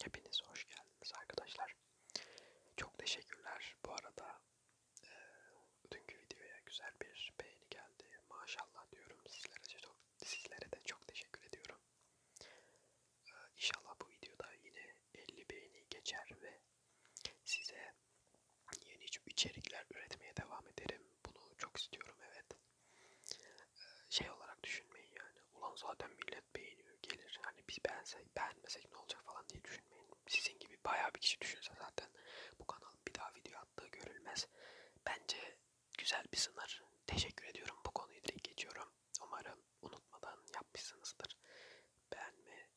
Hepiniz hoş geldiniz arkadaşlar. Çok teşekkürler bu arada. E, dünkü videoya güzel bir beğeni geldi. Maşallah diyorum sizlere de çok, sizlere de çok teşekkür ediyorum. E, inşallah bu videoda yine 50 beğeni geçer ve size yeni içerikler üretmeye devam ederim. Bunu çok istiyorum evet. E, şey olarak düşünmeyin yani. Ulan zaten millet millet beğeniyor gelir. Hani biz beğensek, beğenmesek ne olacak falan diye düşünmeyin. Sizin gibi bayağı bir kişi düşünse zaten bu kanalın bir daha video attığı görülmez. Bence güzel bir sınır. Teşekkür ediyorum. Bu konuyu direkt geçiyorum. Umarım unutmadan yapmışsınızdır. Beğenme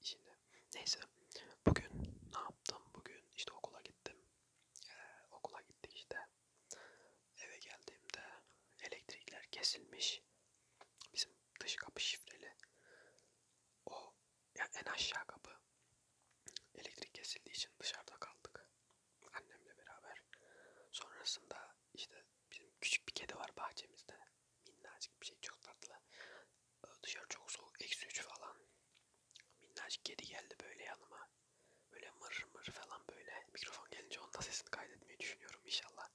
işini. Neyse. Bugün ne yaptım? Bugün işte okula gittim. Ee, okula gittik işte. Eve geldiğimde elektrikler kesilmiş. Bizim dış kapı şifreli. O yani en aşağı kapı elektrik kesildiği için dışarıda kaldık. Annemle beraber. Sonrasında işte bizim küçük bir kedi var bahçemizde. Minnacık bir şey çok tatlı. Dışarı çok soğuk. Eksi 3 falan. Minnacık kedi geldi böyle yanıma böyle mırır mırır falan böyle mikrofon gelince onun da sesini kaydetmeyi düşünüyorum inşallah.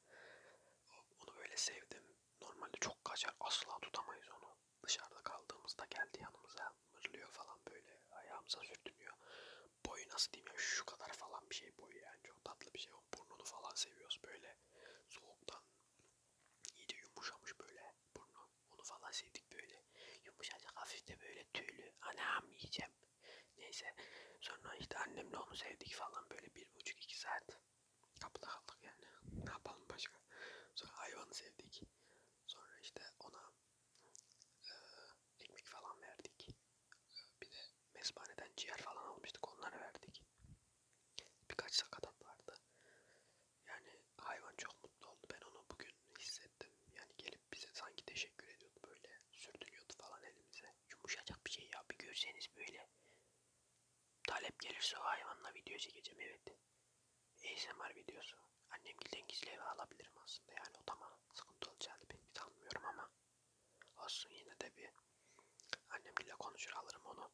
Onu böyle sevdim. Normalde çok kaçar asla tutamayız onu. Dışarıda kaldığımızda geldi yanımıza mırlıyor falan böyle ayağımıza sürtünüyor. Boyu nasıl diyeyim ya şu kadar falan bir şey boyu yani çok tatlı bir şey. Onun burnunu falan seviyoruz böyle soğuktan iyice yumuşamış böyle burnu. Onu falan sevdik böyle yumuşacık hafif de böyle tüylü. Anam yiyeceğim. Neyse sonra işte annemle onu sevdik falan böyle bir buçuk iki saat kapıda kaldık yani. Ne yapalım başka? Sonra hayvanı sevdik. Sonra işte ona e, ekmek falan verdik. Bir de mezbaneden ciğer falan almıştık onları verdik. Birkaç sakatat vardı. Yani hayvan çok mutlu oldu. Ben onu bugün hissettim. Yani gelip gelip bize sanki teşekkür ediyordu böyle. Sürdürüyordu falan elimize. Yumuşacak bir şey ya bir görseniz böyle. Talep gelirse o hayvanla video çekeceğim evet. ASMR videosu. Annem gilden gizli eve alabilirim aslında yani o tamam. Sıkıntı olacağını pek sanmıyorum ama. Olsun yine de bir annemle konuşur alırım onu.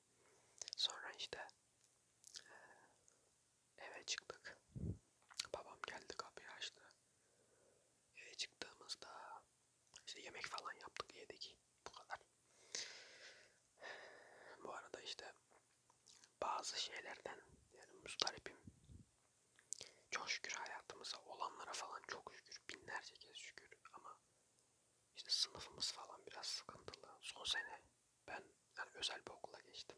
Sonra işte eve çıktık. Babam geldi kapıyı açtı. Eve çıktığımızda işte yemek falan yaptık, yedik. Bu kadar. Bu arada işte bazı şeylerden yani mustaripim. Çok şükür hayatımıza olanlara falan çok şükür. Binlerce kez şükür ama işte sınıfımız falan biraz sıkıntılı. Son sene ben yani özel bir okula geçtim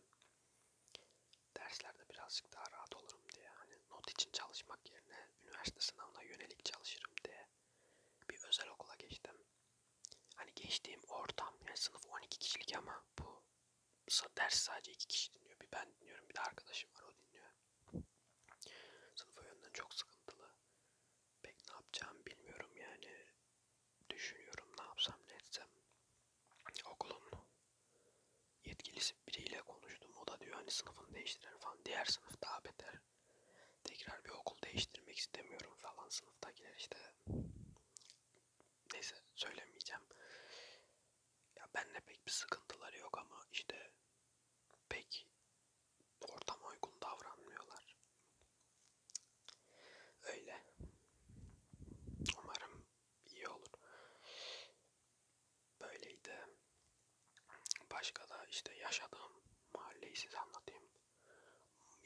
derslerde birazcık daha rahat olurum diye hani not için çalışmak yerine üniversite sınavına yönelik çalışırım diye bir özel okula geçtim. Hani geçtiğim ortam yani sınıf 12 kişilik ama bu ders sadece 2 kişi dinliyor. Bir ben dinliyorum bir de arkadaşım var o dinliyor. Sınıf o yönden çok sıkıntılı. Pek ne yapacağımı bilmiyorum yani. Düşünüyorum ne yapsam ne etsem. Okulun yetkilisi biriyle konuştum. O da diyor hani sınıfını değiştirir falan. Diğer sınıf daha beter. Tekrar bir okul değiştirmek istemiyorum falan. Sınıftakiler işte neyse söylemeyeceğim. Ya benle pek bir sıkıntıları yok ama işte pek ortama uygun davranmıyorlar. Öyle. Umarım iyi olur. Böyleydi. Başka da işte yaşadığım mahalleyi size anlatayım.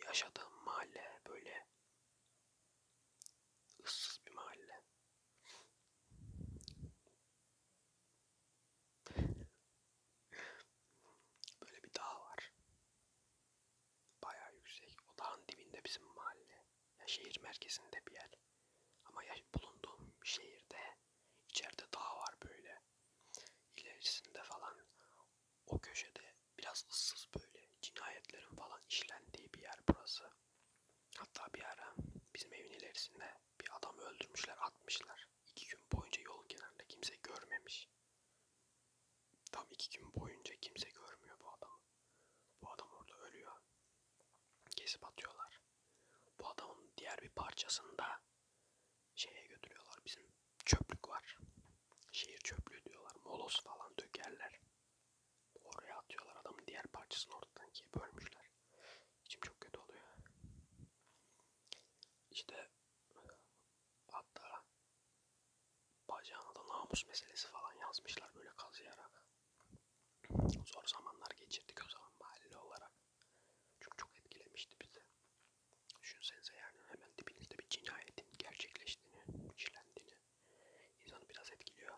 Yaşadığım mahalle böyle ıssız bir mahalle. böyle bir dağ var. Bayağı yüksek. O dağın dibinde bizim mahalle ya şehir merkezinde bir yer. Ama ya bulunduğum şehirde içeride dağ var böyle. İlerisinde falan o köşede biraz ıssız böyle cinayetlerin falan işlendiği bir yer burası. Hatta bir ara bizim evin ilerisinde bir adam öldürmüşler atmışlar. İki gün boyunca yolun kenarında kimse görmemiş. Tam iki gün boyunca kimse görmüyor bu adamı. Bu adam orada ölüyor. Kesip atıyorlar. Bu adamın diğer bir parçasını da şeye götürüyorlar. Bizim çöplük var. Şehir çöplüğü diyorlar. Molos falan dökerler. Oraya atıyorlar adamın diğer parçasını ortadan ikiye bölmüşler. İçim çok kötü oluyor. İşte hatta bacağına da namus meselesi falan yazmışlar böyle kazıyarak. Zor zamanlar geçirdik o zaman mahalle olarak. Çünkü çok etkilemişti bizi. Düşünsenize yani hemen dibinizde bir cinayetin gerçekleştiğini, işlendiğini insanı biraz etkiliyor.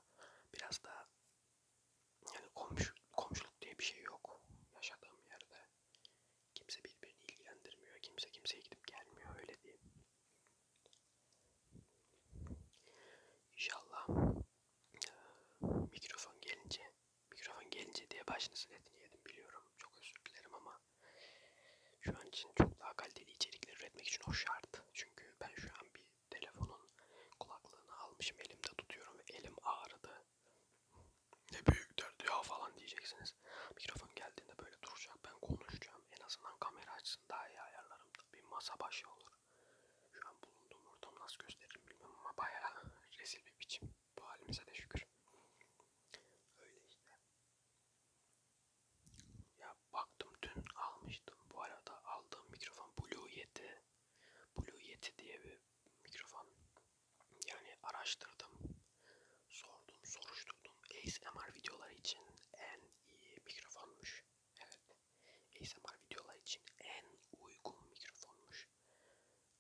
Biraz da yani komşu, komşuluk diye bir şey yok yaşadığım yerde. Kimse birbirini ilgilendirmiyor, kimse kimseye gidip gelmiyor öyle diyeyim. İnşallah mikrofon gelince mikrofon gelince diye başınızın etini yedim biliyorum. Çok özür dilerim ama şu an için çok daha kaliteli içerikler üretmek için o şart. Çünkü ben şu an bir telefonun kulaklığını almışım elimde tutuyorum ve elim ağrıdı. Ne büyük derdi ya falan diyeceksiniz. Mikrofon geldiğinde böyle duracak ben konuşacağım. En azından kamera açsın daha iyi ayarlarım. Bir masa başı olur. Şu an bulunduğum ortam nasıl gösteririm bilmiyorum ama bayağı rezil bir biçim. Bu halimize de şükür. Öyle işte. Ya baktım dün almıştım. Bu arada aldığım mikrofon Blue Yeti. Blue Yeti diye bir mikrofon. Yani araştırdım. Sordum, soruşturdum. ASMR videoları için en iyi mikrofonmuş. Evet. ASMR videolar için en uygun mikrofonmuş.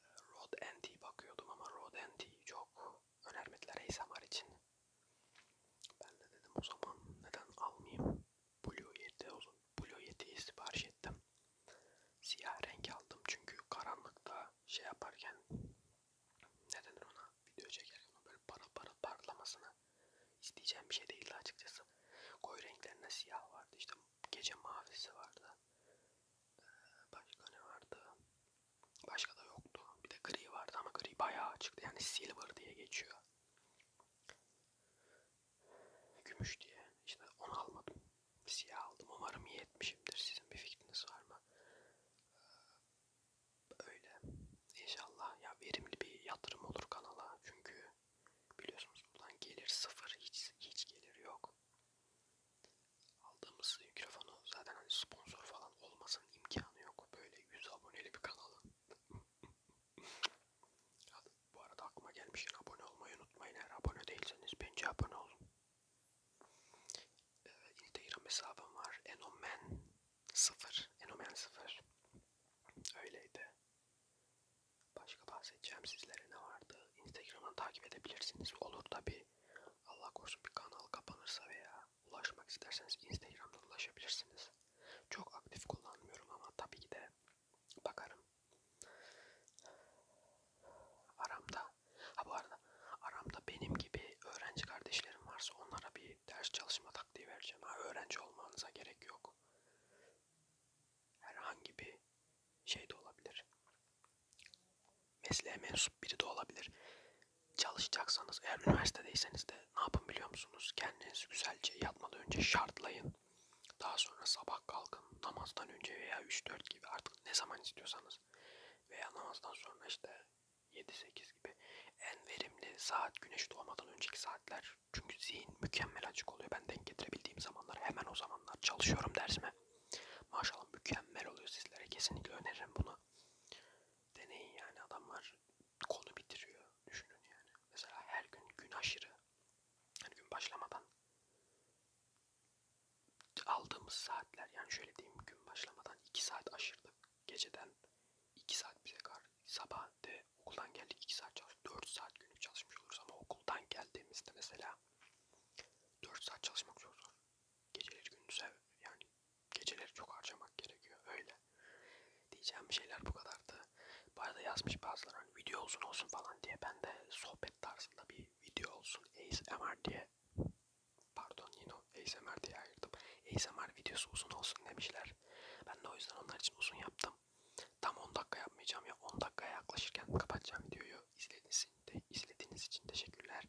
Ee, Rode NT bakıyordum ama Rode NT çok önermediler ASMR için. Ben de dedim o zaman neden almayayım? Blue Yeti uzun. Blue Yeti'yi sipariş ettim. Siyah renk aldım çünkü karanlıkta şey yaparken ne denir ona video çekerken o böyle para para parlamasını isteyeceğim bir şey değildi açıkçası. Koyu renklerinde siyah vardı işte gece mavisi vardı. Ee, başka ne vardı? Başka da yoktu. Bir de gri vardı ama gri bayağı açıktı. Yani silver diye geçiyor. Gümüş diye. İşte onu almadım. Siyah aldım. Umarım iyi etmişimdir. Sizin bir fikriniz var mı? öyle. İnşallah ya verimli bir yatırım olur kanala. Çünkü biliyorsunuz buradan gelir sıfır. Hiç, hiç gelir yok. Aldığımız mikrofonu zaten hani sponsor falan olmasın imkanı yok. Böyle 100 aboneli bir kanalın. Bu arada aklıma gelmişken abone olmayı unutmayın. Eğer abone değilseniz bence abone olun. Ee, Instagram hesabım var. Enomen Sıfır. Enomen sıfır. Öyleydi. Başka bahsedeceğim sizlere ne vardı? Instagram'dan takip edebilirsiniz. Olur tabi. Allah korusun bir kanal kapanırsa veya ulaşmak isterseniz Instagram'dan ulaşabilirsiniz. Çok aktif kullanmıyorum ama tabii ki de bakarım. Aramda, ha bu arada aramda benim gibi öğrenci kardeşlerim varsa onlara bir ders çalışma taktiği vereceğim. Ha, öğrenci olmanıza gerek yok. Herhangi bir şey de olabilir. Mesleğe mensup biri de olabilir. Çalışacaksanız eğer üniversitedeyseniz de ne yapın biliyor musunuz? Kendinizi güzelce yatmadan önce şartlayın. Daha sonra sabah kalkın namazdan önce veya 3-4 gibi artık ne zaman istiyorsanız veya namazdan sonra işte 7-8 gibi en verimli saat güneş doğmadan önceki saatler. Çünkü zihin mükemmel açık oluyor. Ben denk getirebildiğim zamanlar hemen o zamanlar çalışıyorum dersime. Maşallah mükemmel oluyor sizlere. Kesinlikle öneririm bunu. Deneyin yani adamlar konu bitiriyor. Düşünün yani. Mesela her gün gün aşırı. Yani gün başlamadan aldığımız saatler yani şöyle diyeyim gün başlamadan 2 saat aşırdık. Geceden 2 saat bize kar. Sabah de okuldan geldik 2 saat çalış. 4 saat günlük çalışmış oluruz ama okuldan geldiğimizde mesela 4 saat çalışmak çok zor. Geceleri gündüze yani geceleri çok harcamak gerekiyor öyle. Diyeceğim şeyler bu kadardı. Bu arada yazmış bazıları hani video uzun olsun falan diye ben de sohbet tarzında bir video olsun ASMR diye Pardon yine o ASMR diye ayırdım. ASMR videosu uzun olsun demişler. Ben de o yüzden onlar için uzun yaptım. Tam 10 dakika yapmayacağım ya 10 dakikaya yaklaşırken kapatacağım videoyu. İzlediğiniz, de, izlediğiniz için teşekkürler.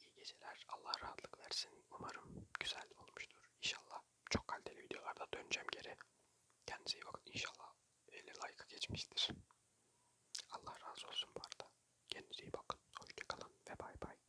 İyi geceler. Allah rahatlık versin. Umarım güzel olmuştur. İnşallah çok kaliteli videolarda döneceğim geri. Kendinize iyi bakın. İnşallah 50 like'a geçmiştir. Allah razı olsun bu arada. Kendinize iyi bakın. Hoşçakalın ve bay bay.